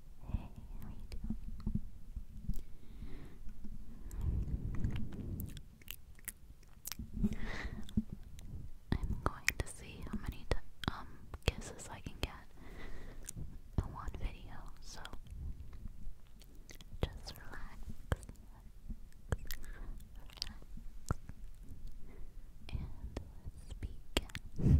I'm going to see how many um kisses I can get in one video, so just relax, relax, and let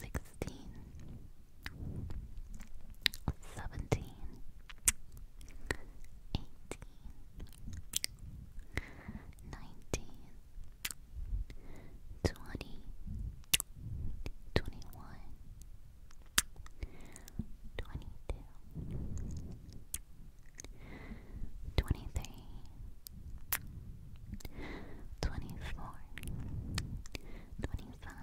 sixteen, seventeen, eighteen, nineteen, twenty, twenty one, twenty two. 23 24 25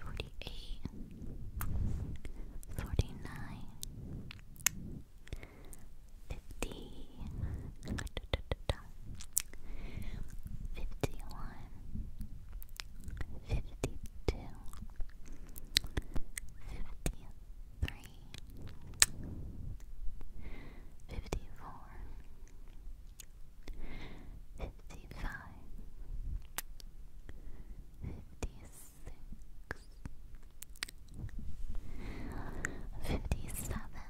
Forty-eight, forty-nine, fifty, fifty-one, fifty-two, fifty-three, fifty-four. 53 Fifty-five, fifty-six, fifty-seven,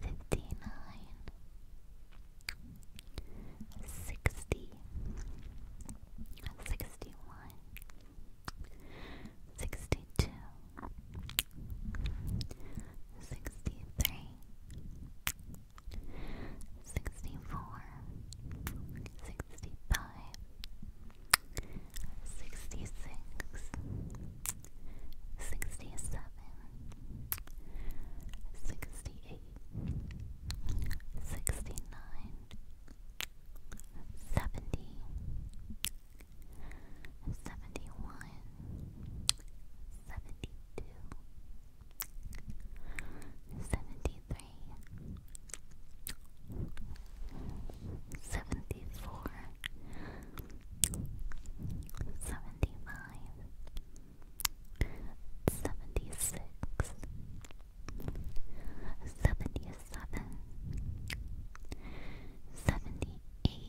fifty-eight, fifty-nine, sixty, sixty-one, sixty-two sixty-three, sixty-four, sixty-five, sixty-six, sixty-seven, sixty-eight, sixty-nine, seventy. 71 seventy one, seventy two, seventy three, seventy four, seventy five, seventy six, seventy seven, seventy eight.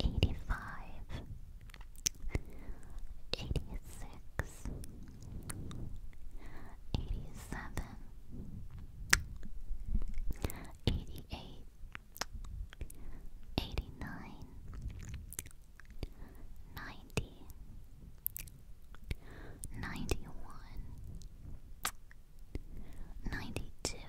Eighty-five, eighty-six, eighty-seven, eighty-eight, eighty-nine, ninety, ninety-one, ninety-two.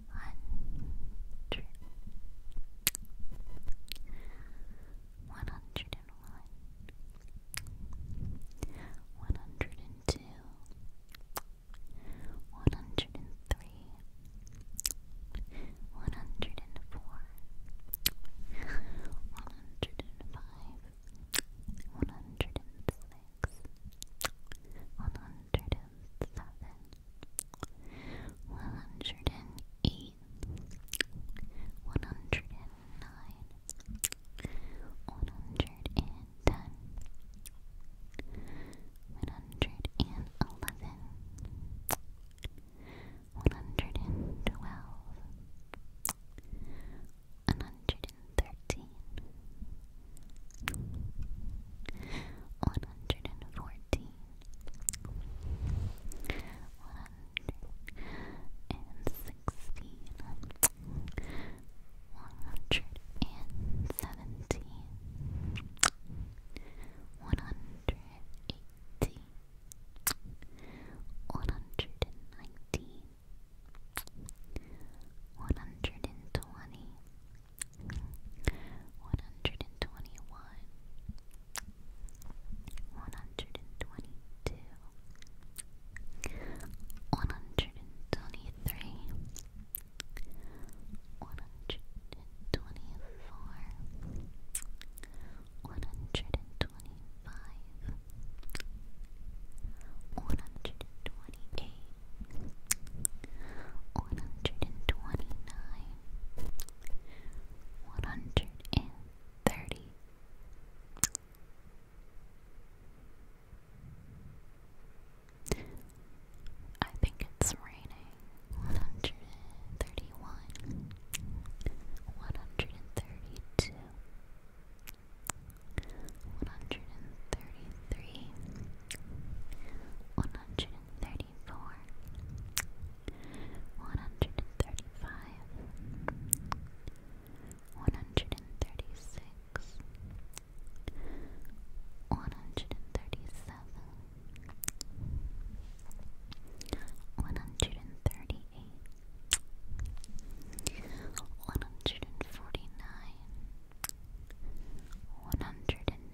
hundred, one hundred and one, one hundred and two, one hundred and three, one hundred and four, one hundred and five, one hundred and six, one hundred and seven one hundred and eight, one hundred and nine, one hundred and ten, one hundred and eleven, one hundred and twelve, one hundred and thirteen, one hundred hundred and fourteen, one hundred and sixteen, one hundred and seventeen, one hundred eighteen, one hundred and nineteen. One hundred and twenty, one hundred and twenty one, one hundred and twenty two, one hundred and twenty three, one hundred and twenty four, one hundred and twenty five, one hundred and twenty K, one hundred and twenty nine, one hundred and thirty. I think it's raining. One hundred and thirty one, one hundred and thirty two, one hundred and thirty three, one hundred thirty-four, one hundred and thirty-five, one hundred and thirty-six, one hundred and thirty-seven, one hundred and thirty-eight, one hundred and forty-nine, one hundred and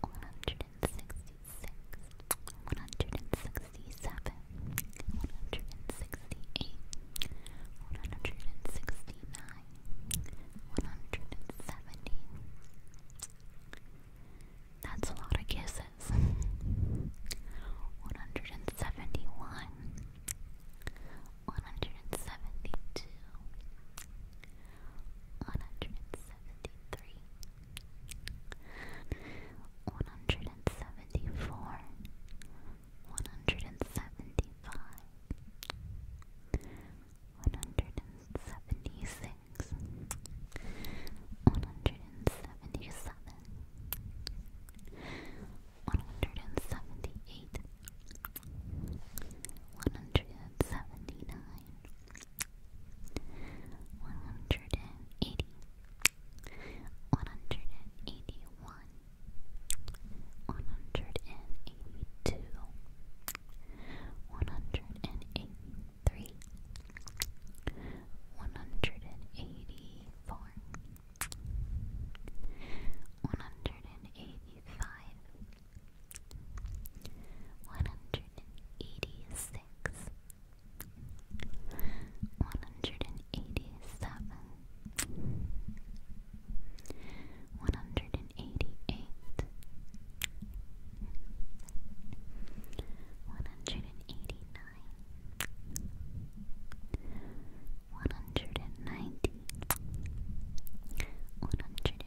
one hundred and sixty six, one hundred and sixty seven, one hundred and sixty eight, one hundred and sixty nine, one hundred and seventy. That's a lot of kisses. 171 172 one hundred and seventy-three, one hundred and seventy-four, one hundred and seventy-five, one hundred and seventy-six, one hundred and seventy-seven, one hundred and seventy-eight one hundred and seventy nine, one hundred and eighty, one hundred and eighty one, one hundred and eighty two, one hundred and eighty three, one hundred and eighty four. One hundred and eighty five, one hundred and eighty six, one hundred and eighty seven, one hundred and eighty eight, one hundred and eighty nine. and eighty-nine. One hundred One hundred and ninety, one hundred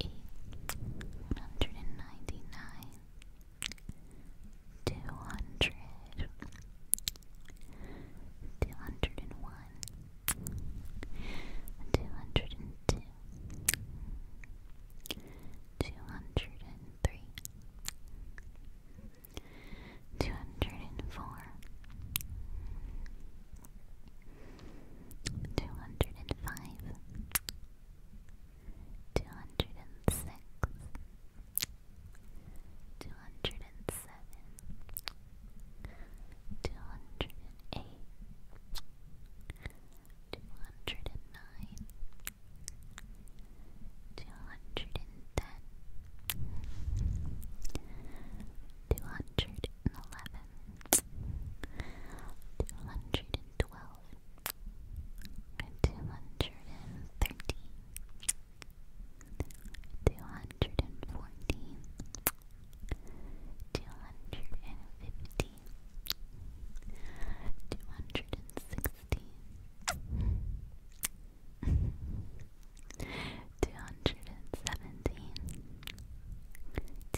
eight, one hundred and ninety nine, two hundred, two hundred and one, two hundred and two, two hundred and three, two hundred and four. Two hundred and five, two hundred and six, two hundred and seven, two hundred and eight, two hundred and nine, two hundred and ten, two hundred and eleven, two hundred and twelve. 210 211 212 two hundred and thirteen, two hundred and fourteen, two hundred and fifteen, two hundred and sixteen.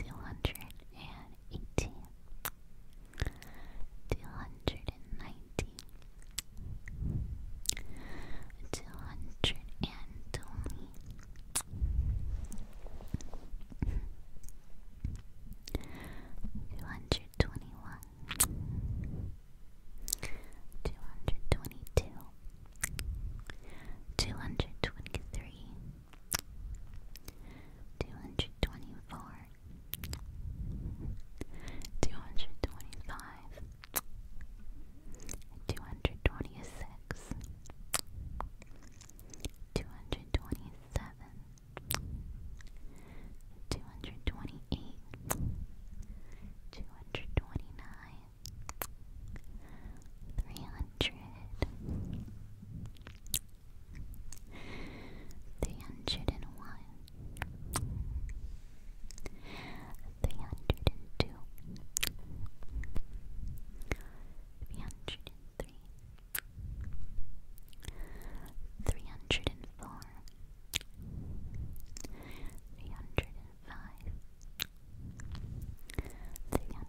217 eighty, two hundred and ninety, two hundred and twenty, two hundred twenty one, two hundred twenty two, two hundred twenty three two hundred twenty four, two hundred twenty five, two hundred twenty six, two hundred twenty seven, two hundred twenty eight, two hundred twenty nine. Three hundred, three hundred and one, three hundred and two, three hundred and three, three hundred and four, three hundred and five, three hundred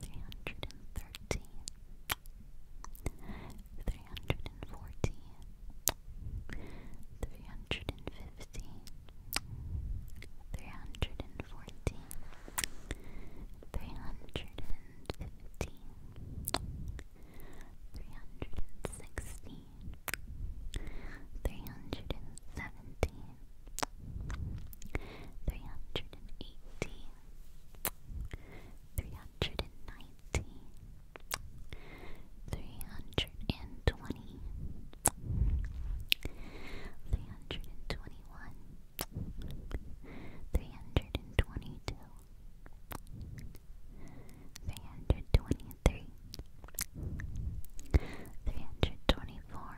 three hundred and thirteen, three hundred and fourteen, three hundred and fifteen, three hundred and fourteen, three hundred and fifteen, three hundred and sixteen, three hundred and seventeen three hundred and eighty, three hundred and ninety, three hundred and twenty, three hundred and twenty one, three hundred and twenty two. 323 324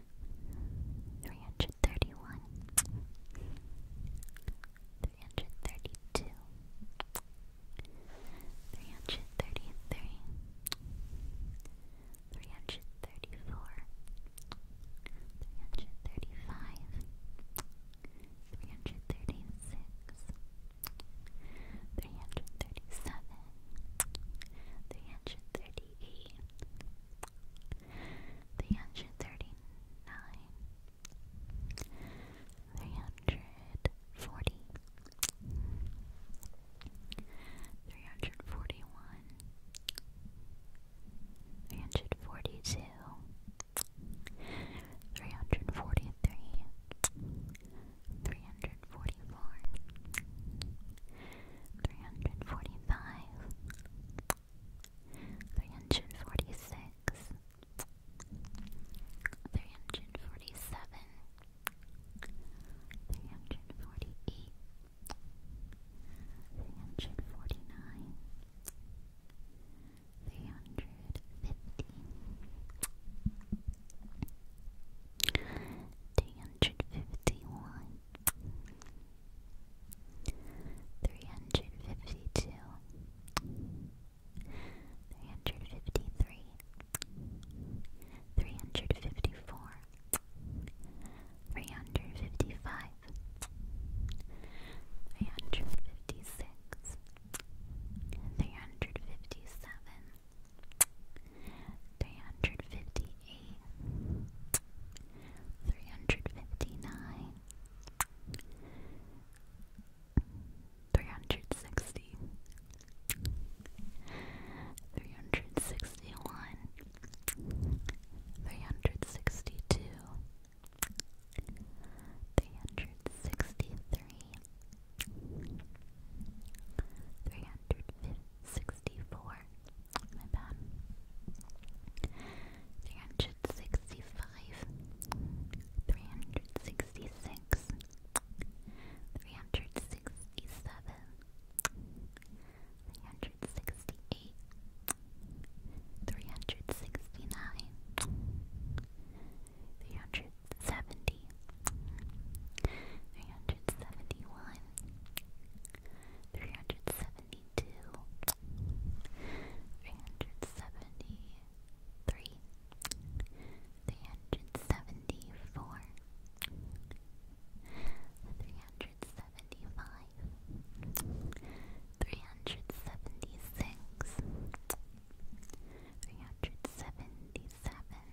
three hundred thirty one, three hundred thirty two, three hundred thirty three, three hundred thirty four, three hundred thirty five, three hundred thirty six, three hundred thirty seven, three hundred thirty three hundred thirty nine, three hundred forty, three hundred forty one, three hundred forty two, three hundred forty three, three hundred forty four. 341 three hundred forty five, three hundred forty six, three hundred forty seven, three hundred forty eight, three hundred forty nine. 350 351 three hundred fifty two, three hundred fifty three, three hundred fifty four, three hundred fifty five, three hundred fifty six, three hundred fifty seven three hundred fifty eight, three hundred fifty nine, three hundred sixty, three hundred sixty one, three hundred sixty two. 363 364 Three hundred sixty five, three hundred sixty six, three hundred sixty seven, three hundred sixty eight, three hundred sixty nine, three hundred 370, 371 three hundred seventy two, three hundred seventy three, three hundred seventy four, three hundred seventy five, three hundred seventy six, three hundred seventy seven.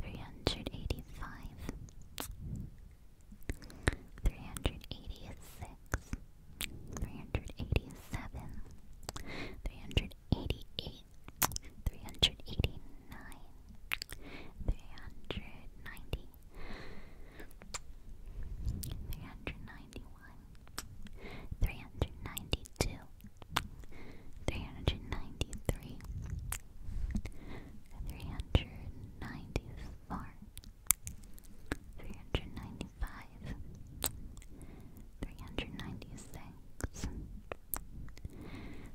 three hundred eighty five, three hundred eighty six, three hundred eighty seven, three hundred eighty eight, three hundred eighty nine, three hundred ninety, three hundred ninety one, three hundred ninety two three hundred ninety three, three hundred ninety four, three hundred ninety five, three hundred ninety six,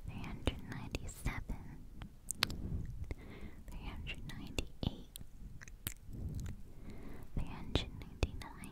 three hundred ninety seven, three hundred ninety eight. Three hundred ninety nine,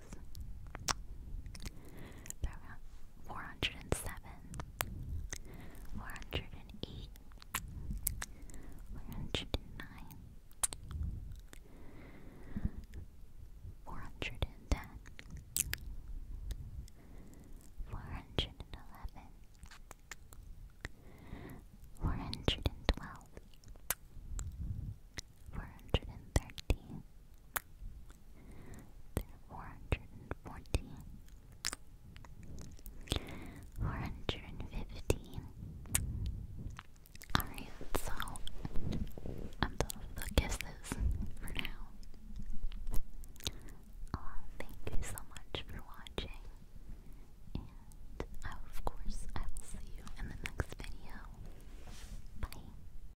There we are. Four hundred and seven. Four hundred and eight. Four hundred and nine. Four hundred and ten. Four hundred and eleven. Four hundred and twelve. Four hundred and thirteen four hundred and fourteen, four hundred and fifteen. Alright, so i the guesses for now. Uh, thank you so much for watching, and of course, I will see you in the next video. Bye.